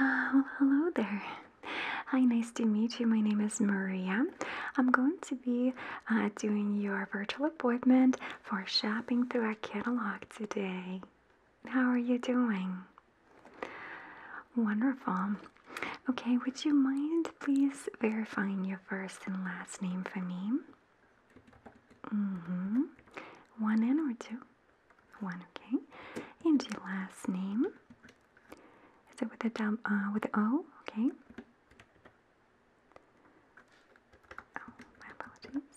Uh, hello there. Hi, nice to meet you. My name is Maria. I'm going to be uh, doing your virtual appointment for shopping through our catalog today. How are you doing? Wonderful. Okay, would you mind please verifying your first and last name for me? Mm-hmm. One N or two? One, okay. And your last name. Is it with a dub, uh, with an O? Okay. Oh, my apologies.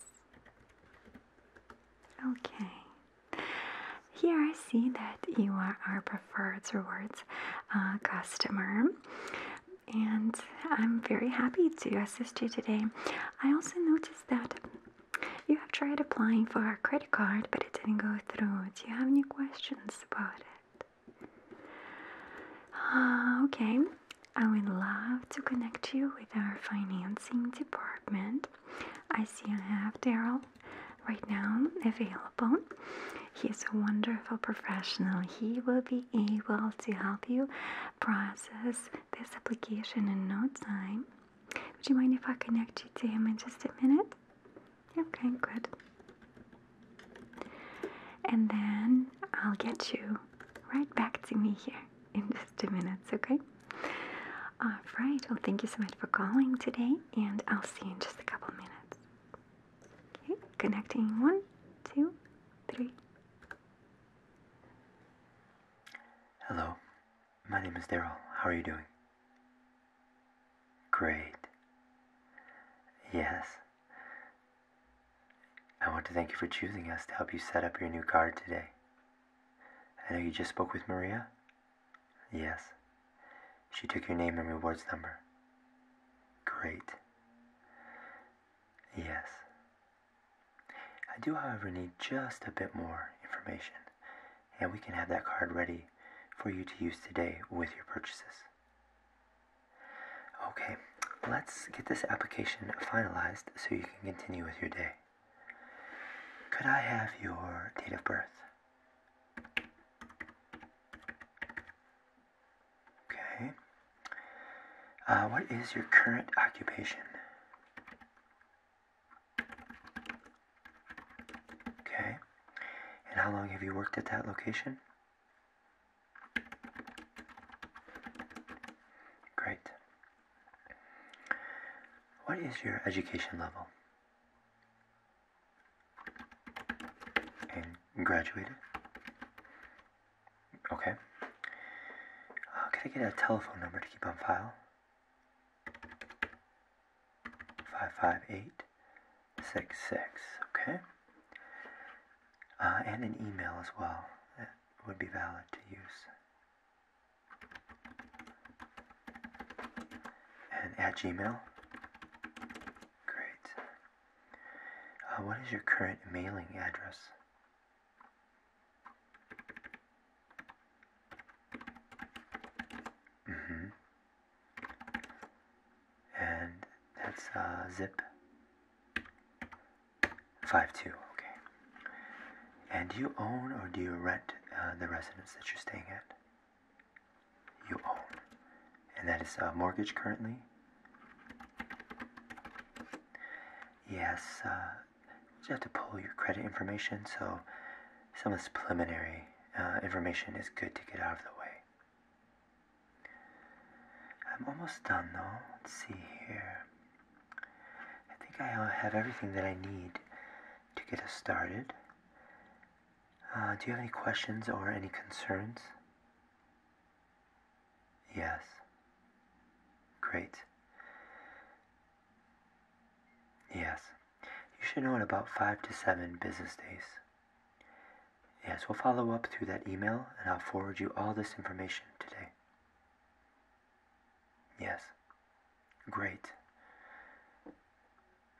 Okay. Here I see that you are our preferred rewards uh, customer and I'm very happy to assist you today. I also noticed that you have tried applying for a credit card, but it didn't go through. Do you have any questions about it? Ah, okay, I would love to connect you with our financing department. I see I have Daryl right now available. He's a wonderful professional. He will be able to help you process this application in no time. Would you mind if I connect you to him in just a minute? Okay, good. And then I'll get you right back to me here in just a minute, okay? All right, well, thank you so much for calling today, and I'll see you in just a couple minutes. Okay, connecting one, two, three. Hello, my name is Daryl. How are you doing? Great. Yes. I want to thank you for choosing us to help you set up your new card today. I know you just spoke with Maria? Yes. She took your name and rewards number. Great. Yes. I do, however, need just a bit more information, and we can have that card ready for you to use today with your purchases. Okay, let's get this application finalized so you can continue with your day. Could I have your date of birth? Okay. Uh, what is your current occupation? Okay. And how long have you worked at that location? Great. What is your education level? And graduated? Okay. Uh, can I get a telephone number to keep on file? 55866, okay? Uh, and an email as well that would be valid to use. And at Gmail? Great. Uh, what is your current mailing address? Mm-hmm. And that's uh, zip 52, okay. And do you own or do you rent uh, the residence that you're staying at? You own. And that is a uh, mortgage currently? Yes, uh, you have to pull your credit information, so some of this preliminary uh, information is good to get out of the way. I'm almost done though. Let's see here. I think I have everything that I need to get us started. Uh, do you have any questions or any concerns? Yes. Great. Yes. You should know in about five to seven business days. Yes, we'll follow up through that email and I'll forward you all this information today. Yes. Great.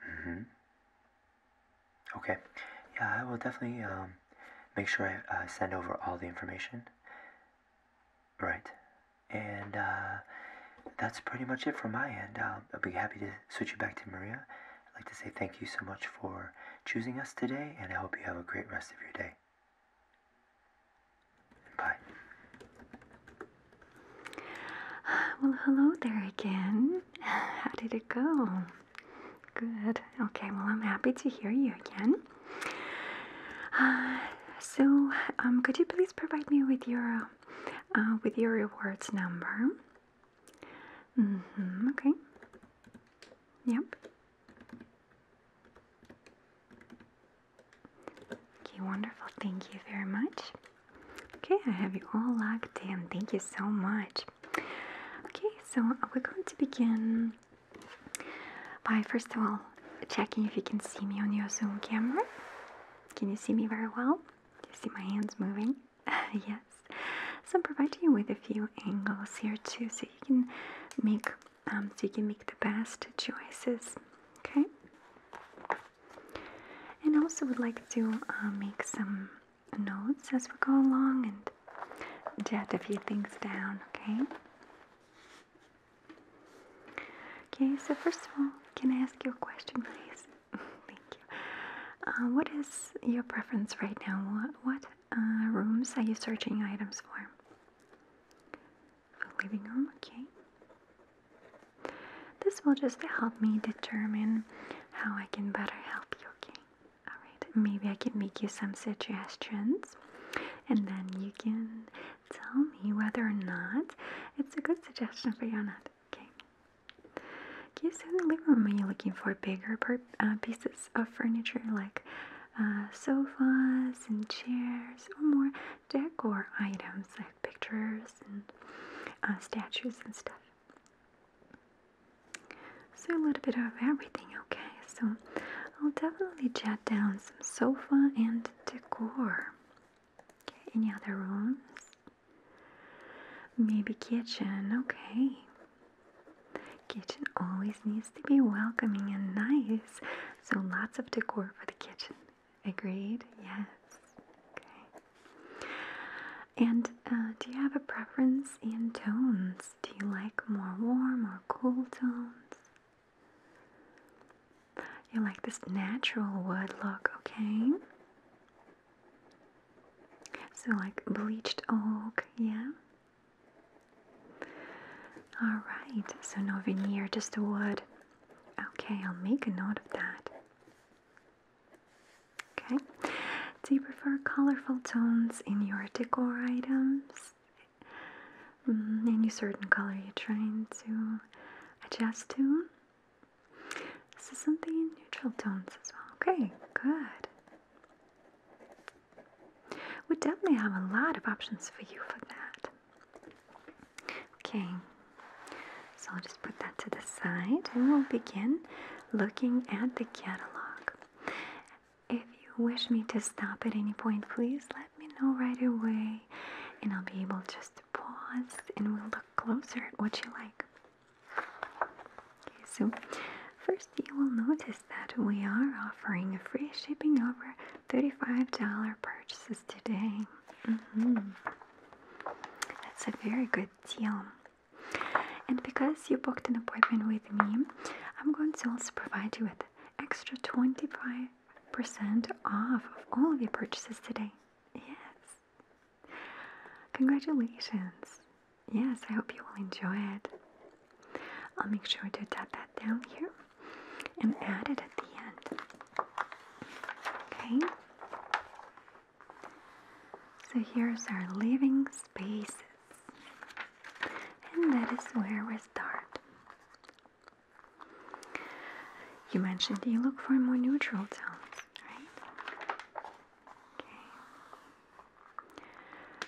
Mm-hmm. Okay. Yeah, I will definitely um, make sure I send over all the information. Right. And uh, that's pretty much it from my end. I'll, um, I'll be happy to switch you back to Maria. I'd like to say thank you so much for choosing us today, and I hope you have a great rest of your day. Bye. Well, hello there again. How did it go? Good. Okay, well, I'm happy to hear you again. Uh, so, um, could you please provide me with your uh, with your rewards number? Mm-hmm, okay. Yep. Okay. Wonderful. Thank you very much. Okay, I have you all logged in. Thank you so much. Okay, so uh, we're going to begin by first of all, checking if you can see me on your Zoom camera. Can you see me very well? Do you see my hands moving? yes. So I'm providing you with a few angles here too, so you can make um, so you can make the best choices. Okay. And I also would like to um, make some notes as we go along and jot a few things down. Okay. Okay, so first of all, can I ask you a question, please? Thank you. Uh, what is your preference right now? What, uh, rooms are you searching items for? The living room, okay. This will just help me determine how I can better help you, okay? Alright, maybe I can make you some suggestions. And then you can tell me whether or not it's a good suggestion for you or not. Okay. Can you see the living room? Are you looking for bigger uh, pieces of furniture like uh, sofas and chairs, or more decor items like pictures and uh, statues and stuff? So a little bit of everything, okay? So I'll definitely jot down sofa and decor. Okay, any other rooms? Maybe kitchen, okay. Kitchen always needs to be welcoming and nice, so lots of decor for the kitchen. Agreed? Yes. Okay. And uh, do you have a preference in tones? Do you like more warm or cool tones? You like this natural wood look, okay? So, like bleached oak, yeah? Alright, so no veneer, just the wood. Okay, I'll make a note of that. Okay, do you prefer colorful tones in your decor items? Mm, any certain color you're trying to adjust to. This is something in neutral tones as well. Okay, good. We definitely have a lot of options for you for that. Okay, so I'll just put that to the side and we'll begin looking at the catalog. If you wish me to stop at any point, please let me know right away and I'll be able just to pause and we'll look closer at what you like. Okay, so first you will notice that we are offering free shipping over $35 purchases today. Mm-hmm. That's a very good deal. And because you booked an appointment with me, I'm going to also provide you with extra 25% off of all of your purchases today. Yes. Congratulations. Yes, I hope you will enjoy it. I'll make sure to tap that down here and add it at the end. Okay. So here's our living spaces. And that is where we start. You mentioned you look for more neutral tones, right? Okay.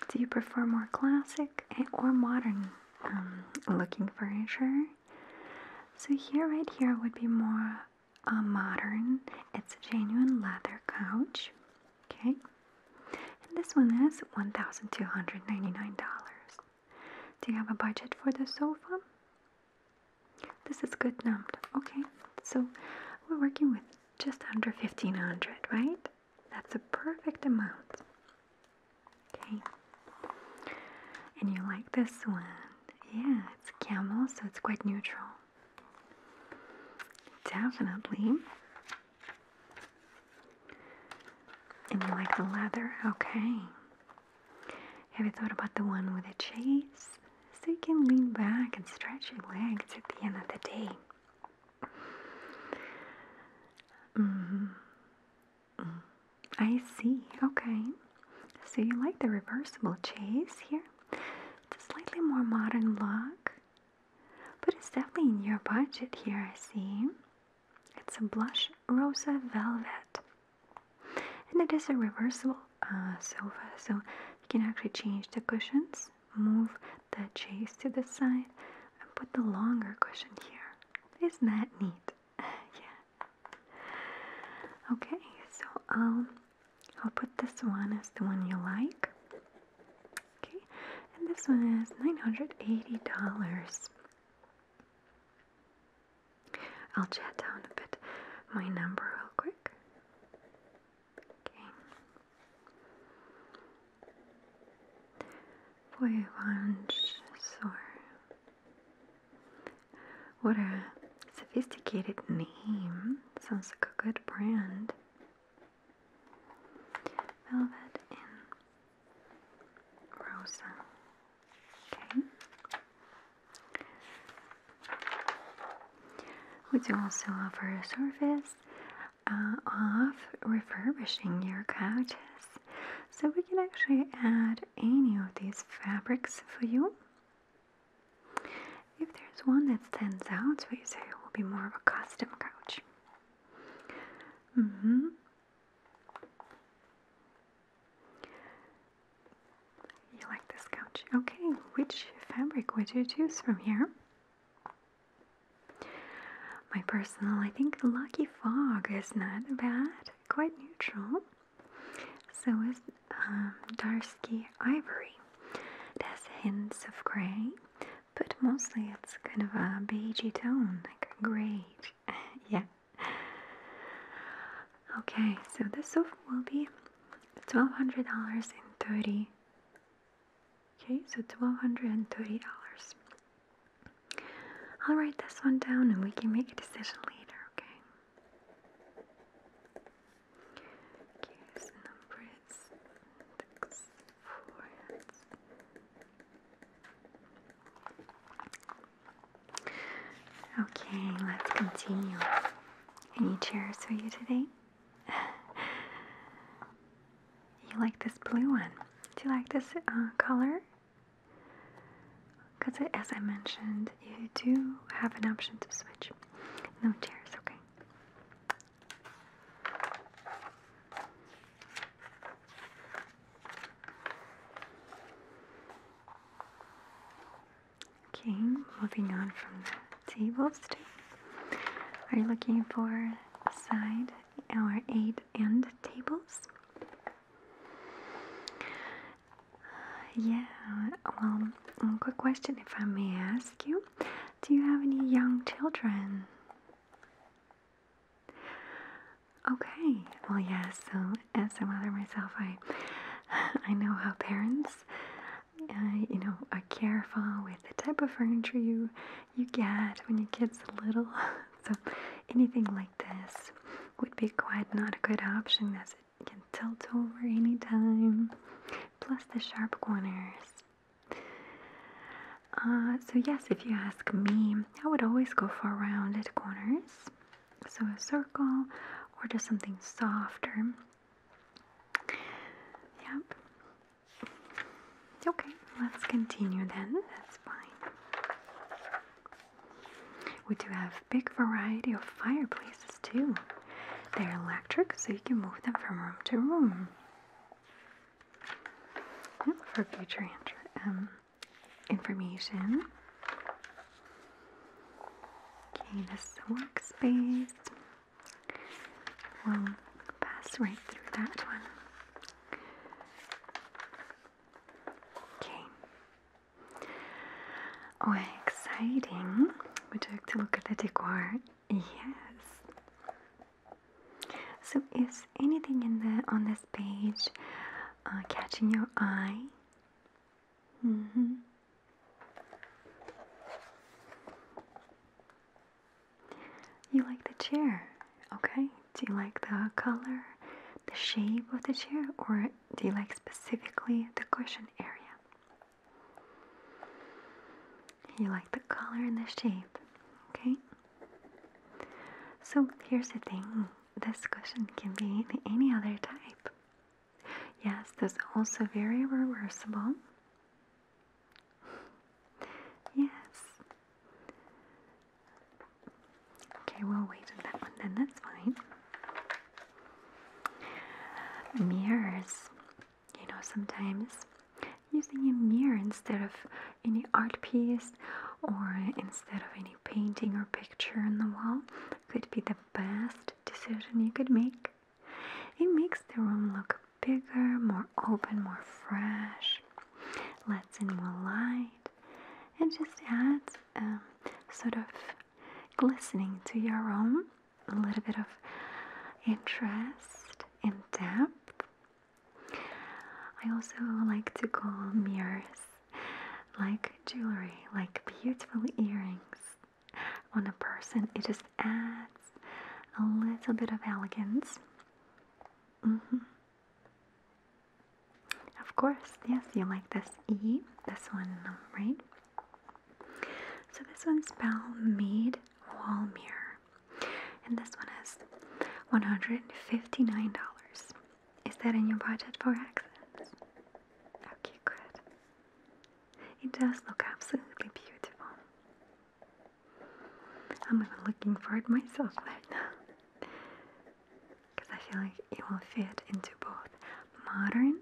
Do you prefer more classic or modern um, looking furniture? So here, right here, would be more uh, modern. It's a genuine leather couch Okay, and this one is $1,299. Do you have a budget for the sofa? This is good number. Okay, so we're working with just under 1500 right? That's a perfect amount. Okay, and you like this one. Yeah, it's camel, so it's quite neutral. Definitely. And you like the leather? Okay. Have you thought about the one with the chase? So you can lean back and stretch your legs at the end of the day. hmm I see. Okay. So you like the reversible chase here? It's a slightly more modern look. But it's definitely in your budget here, I see. It's a blush rosa velvet. And it is a reversible uh, sofa, so you can actually change the cushions, move the chase to the side, and put the longer cushion here. Isn't that neat? yeah. Okay, so i um, I'll put this one as the one you like. Okay, and this one is $980. I'll chat down a bit my number real quick. Okay. Voyage What a sophisticated name. Sounds like a good brand. Velvet in Rosa. Okay. We do also offer a service uh, of refurbishing your couches. So we can actually add any of these fabrics for you. If there's one that stands out we say it will be more of a custom couch. Mm-hmm. You like this couch? Okay, which fabric would you choose from here? My personal, I think Lucky Fog is not bad, quite neutral. So is um, Darsky Ivory. It has hints of grey, but mostly it's kind of a beigey tone, like a gray. yeah. Okay, so this sofa will be twelve hundred dollars and thirty. Okay, so twelve hundred and thirty dollars. I'll write this one down, and we can make a decision later. Okay. Okay, let's continue. Any chairs for you today? you like this blue one? Do you like this uh, color? Because as I mentioned, you do have an option to switch. No chairs, okay. Okay, moving on from the tables Are you looking for side or eight end tables? Uh, yeah, well, quick question if I may ask you. Do you have any young children? Okay, well yeah, so as a mother myself, I I know how parents, uh, you know, are careful with the type of furniture you you get when your kid's little. So anything like this would be quite not a good option as it can tilt over anytime. Plus the sharp corners uh, so yes, if you ask me, I would always go for rounded corners. So a circle or just something softer. Yep. Okay, let's continue then. That's fine. We do have big variety of fireplaces too. They're electric, so you can move them from room to room for future um, information. Okay, this is the workspace. We'll pass right through that one. Okay. Oh, exciting! We took to look at the decor Yes. So is anything in the on this page uh, catching your eye? Mm-hmm. You like the chair, okay? Do you like the color, the shape of the chair, or do you like specifically the cushion area? You like the color and the shape, okay? So here's the thing this question can be any other type. Yes, there's also very reversible. Yes. Okay, we'll wait on that one then, that's fine. Mirrors you know, sometimes using a mirror instead of any art piece or instead of any painting or picture in the wall could be the best decision you could make. It makes the room look bigger, more open, more fresh, lets in more light, and just adds um, sort of glistening to your room, a little bit of interest and depth, I also like to call mirrors like jewelry, like beautiful earrings on a person. It just adds a little bit of elegance. Mm-hmm. Of course, yes, you like this E, this one, right? So this one's Balmade Wall Mirror. And this one is $159. Is that in your budget for accents? Okay, good. It does look absolutely beautiful. I'm even looking for it myself right now. Because I feel like it will fit into both modern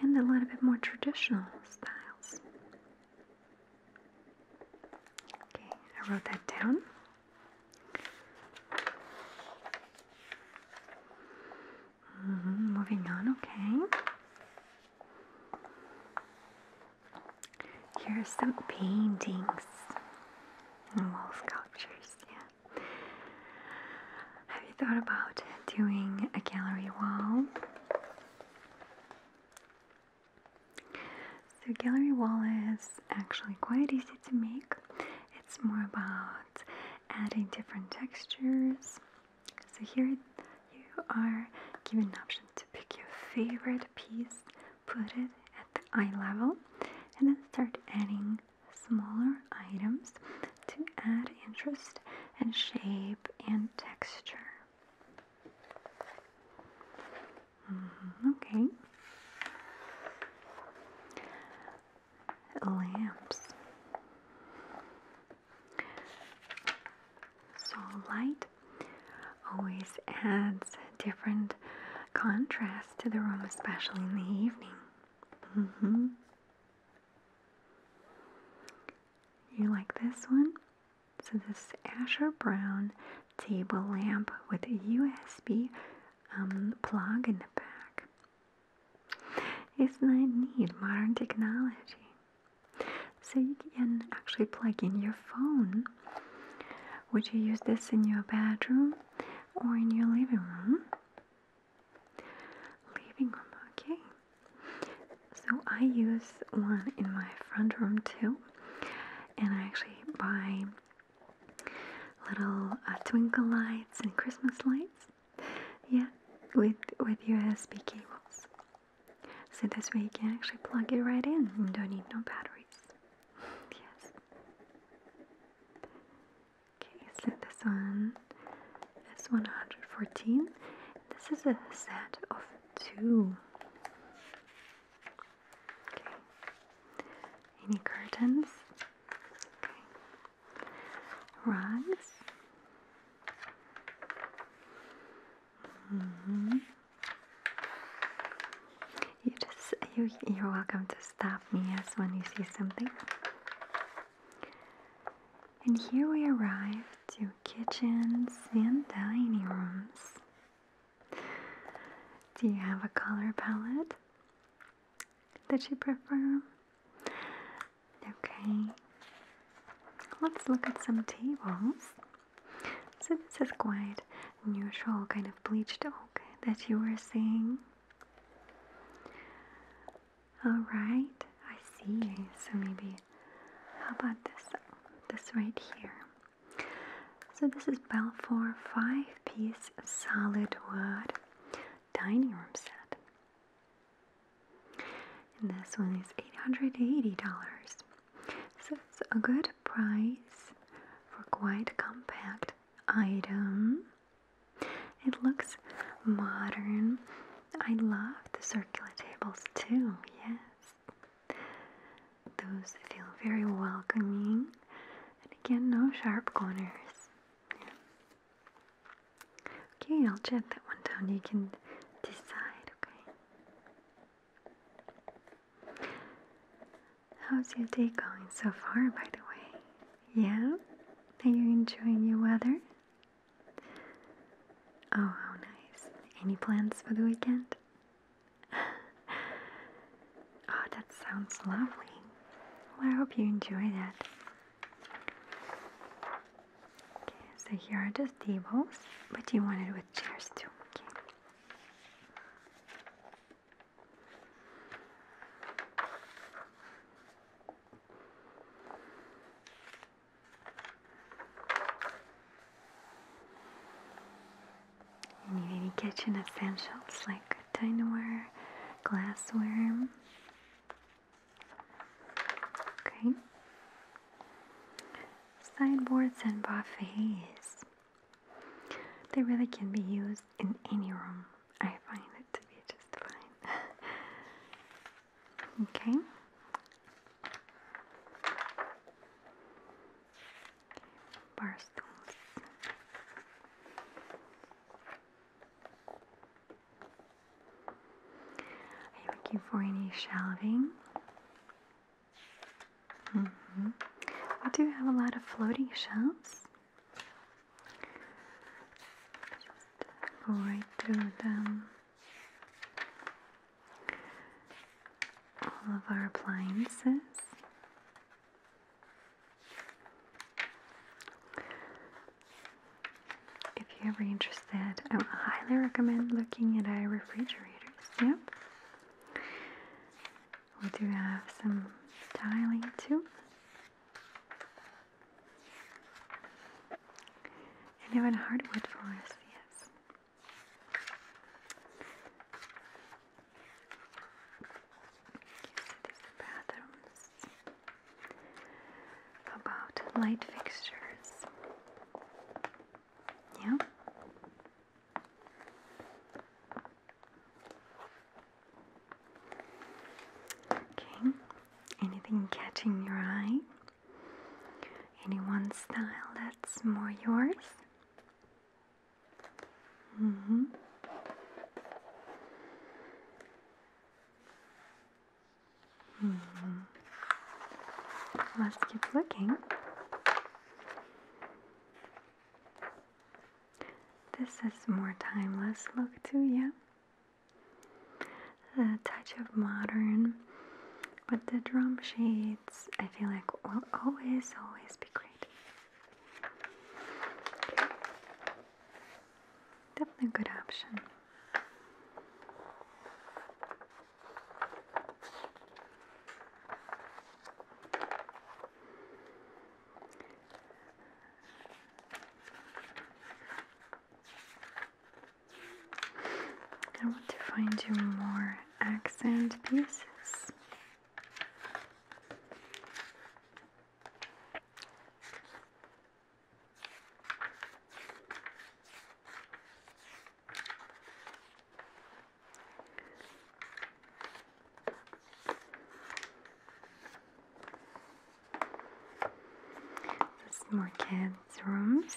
and a little bit more traditional styles. Okay, I wrote that down. Mm-hmm, moving on, okay. Here are some paintings and wall sculptures, yeah. Have you thought about doing a gallery wall? So gallery wall is actually quite easy to make. It's more about adding different textures. So here you are given an option to pick your favorite piece, put it at the eye level, and then start adding smaller items to add interest and shape and texture. Mm -hmm, okay. Lamps. So light always adds different contrast to the room, especially in the evening. Mm-hmm. You like this one? So this Asher Brown table lamp with a USB um, plug in the back. Isn't need Modern technology. So you can actually plug in your phone. Would you use this in your bedroom or in your living room? Living room, okay. So I use one in my front room too, and I actually buy little uh, twinkle lights and Christmas lights. Yeah, with with USB cables. So this way you can actually plug it right in and don't need no batteries. Yes. Okay, so this one is 114. This is a set of two. Any curtains? Okay. Rugs. -hmm. You just you you're welcome to stop me as yes, when you see something. And here we arrive to kitchens and dining rooms. Do you have a color palette that you prefer? Okay, let's look at some tables. So, this is quite neutral, kind of bleached oak that you were saying. Alright, I see. So, maybe how about this? This right here. So this is Balfour five-piece solid wood dining room set. And this one is $880. So it's a good price for quite compact item. It looks modern. I love the circular tables too, yes. Those feel very welcoming. And again, no sharp corners. Okay, I'll jet that one down. You can decide, okay? How's your day going so far, by the way? Yeah? Are you enjoying your weather? Oh, how nice. Any plans for the weekend? oh, that sounds lovely. Well, I hope you enjoy that. so here are just tables, but you want it with chairs too. Okay. You need any kitchen essentials like dineware, glassware. Okay. Sideboards and buffets. They really can be used in any room. I find it to be just fine. okay. Barstools. Are you looking for any shelving? Mm-hmm. We do have a lot of floating shelves. right through them all of our appliances. If you're ever interested, I would highly recommend looking at our refrigerators. Yep. We do have some tiling too. And even hardwood floors, yes. You see these bathrooms. About light fixtures. Yeah. Okay. Anything catching your eye? Any one style that's more yours? Mm-hmm. Mm-hmm. Let's keep looking. This is more timeless look too, yeah? A touch of modern them. But the drum shades, I feel like, will always, always be great. Definitely a good option. I want to find you more accent pieces. There's more kids' rooms.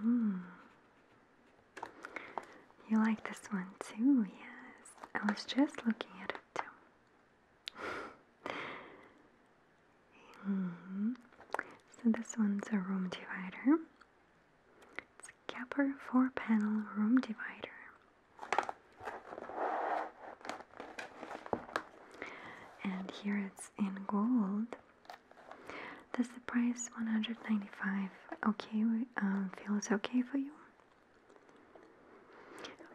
Hmm. You like this one too, yes. I was just looking at it too. Mm-hmm. So this one's a room divider. It's a Kepler 4 panel room divider. And here it's in gold. Does the price 195 okay um, feel feels okay for you?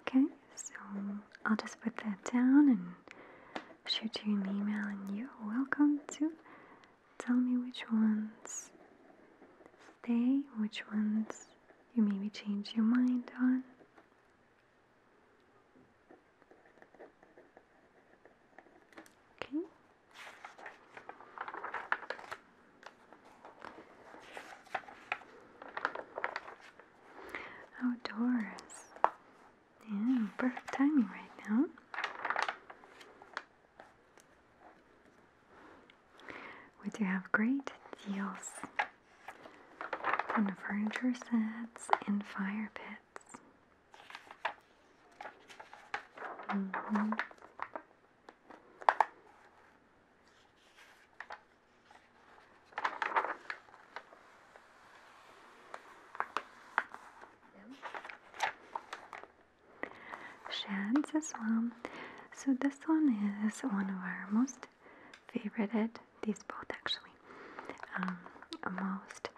Okay, so I'll just put that down and shoot you an email and you're welcome to Tell me which ones stay, which ones you maybe change your mind on. Okay. Outdoors. Yeah, perfect timing right now. We do have great deals on the furniture sets and fire pits. Mm-hmm sheds as well. So this one is one of our most favorite. these both actually, um, most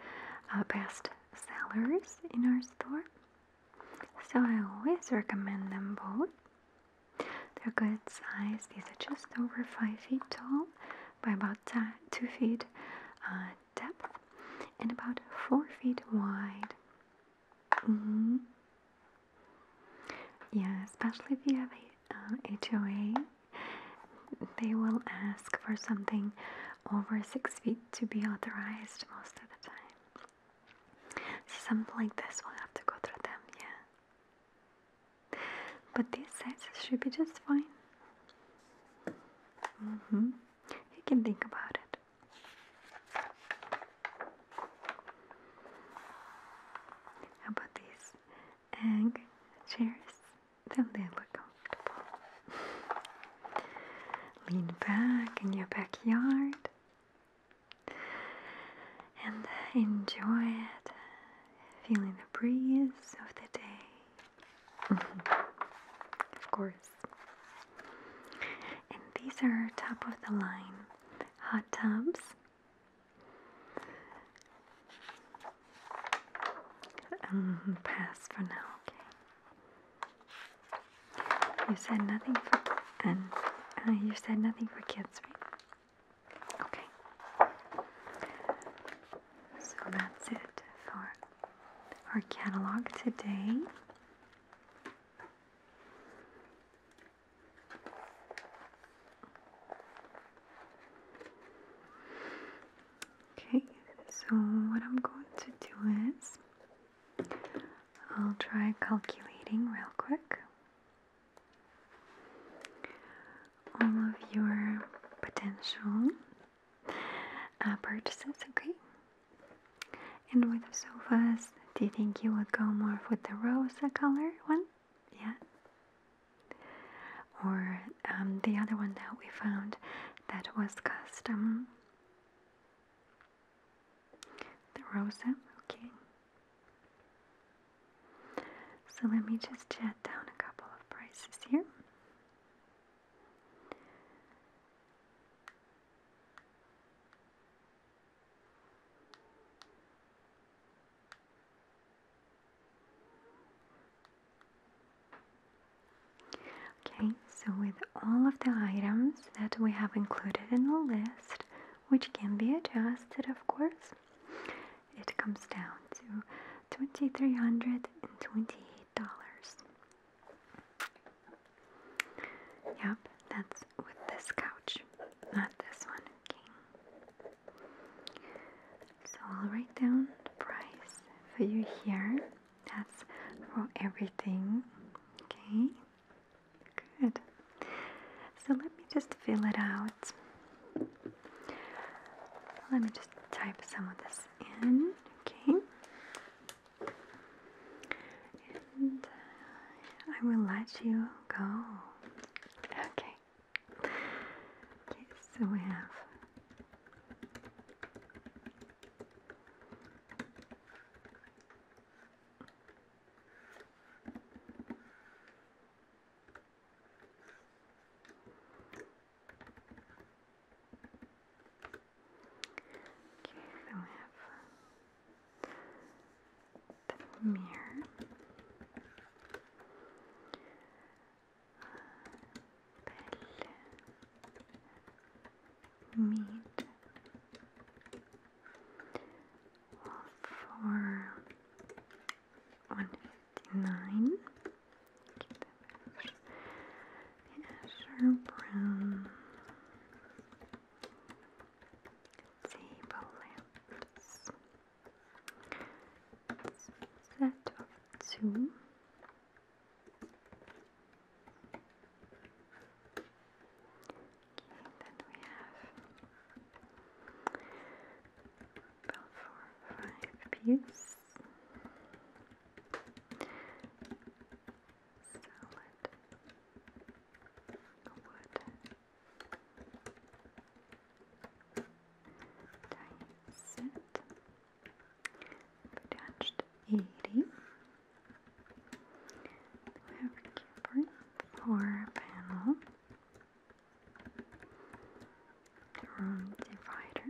uh, best sellers in our store. So I always recommend them both. They're good size. These are just over 5 feet tall by about 2 feet uh, depth and about 4 feet wide. Mm-hmm. Yeah, especially if you have a um, HOA, they will ask for something over six feet to be authorized most of the time. So something like this will have to go through them, yeah. But these sizes should be just fine. Mm -hmm. You can think about it. How about these egg chairs? Don't they look comfortable? Lean back in your backyard and enjoy it, feeling the breeze of the day. of course, and these are top of the line hot tubs. Um, pass for now, okay. You said nothing for and uh, you said nothing for kids, right? Okay. So that's it for our catalog today. Okay, so what I'm going to do is I'll try calculating real quick all of your potential uh, purchases, okay? And with the sofas, do you think you would go more with the Rosa color one? Yeah. Or um, the other one that we found that was custom. The rosa, okay. So let me just jot down a couple of prices here. Okay, so with all of the items that we have included in the list, which can be adjusted of course, it comes down to $2,328. Yep, that's with this couch, not this one, King. So I'll write down the price for you here. That's for everything, okay? Good. So let me just fill it out. Let me just type some of this in, okay? Uh, I will let you go. Okay. Okay, so we have Okay, then we have the mirror. Belle. Meat. for one fifty nine an azure brown, table lamps, set of two. Okay, then we have four five pieces salad wood dice attached 80 we have a cupboard floor panel room divider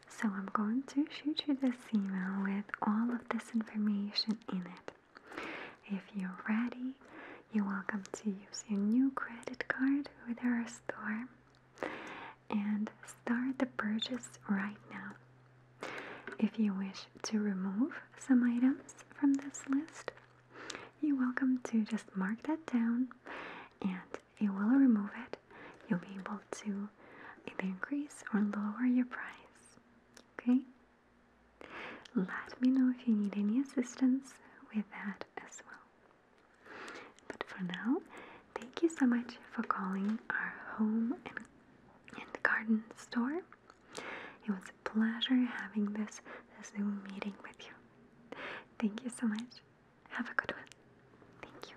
So I'm going to shoot you this email with all of this information in it. If you're ready, you're welcome to use your new credit card with our store and start the purchase right now. If you wish to remove some items from this list, you're welcome to just mark that down and it will remove it. You'll be able to either increase or lower your price. Okay? Let me know if you need any assistance with that as well. But for now, thank you so much for calling our home and, and garden store. It was a pleasure having this Zoom meeting with you. Thank you so much. Have a good one. Thank you.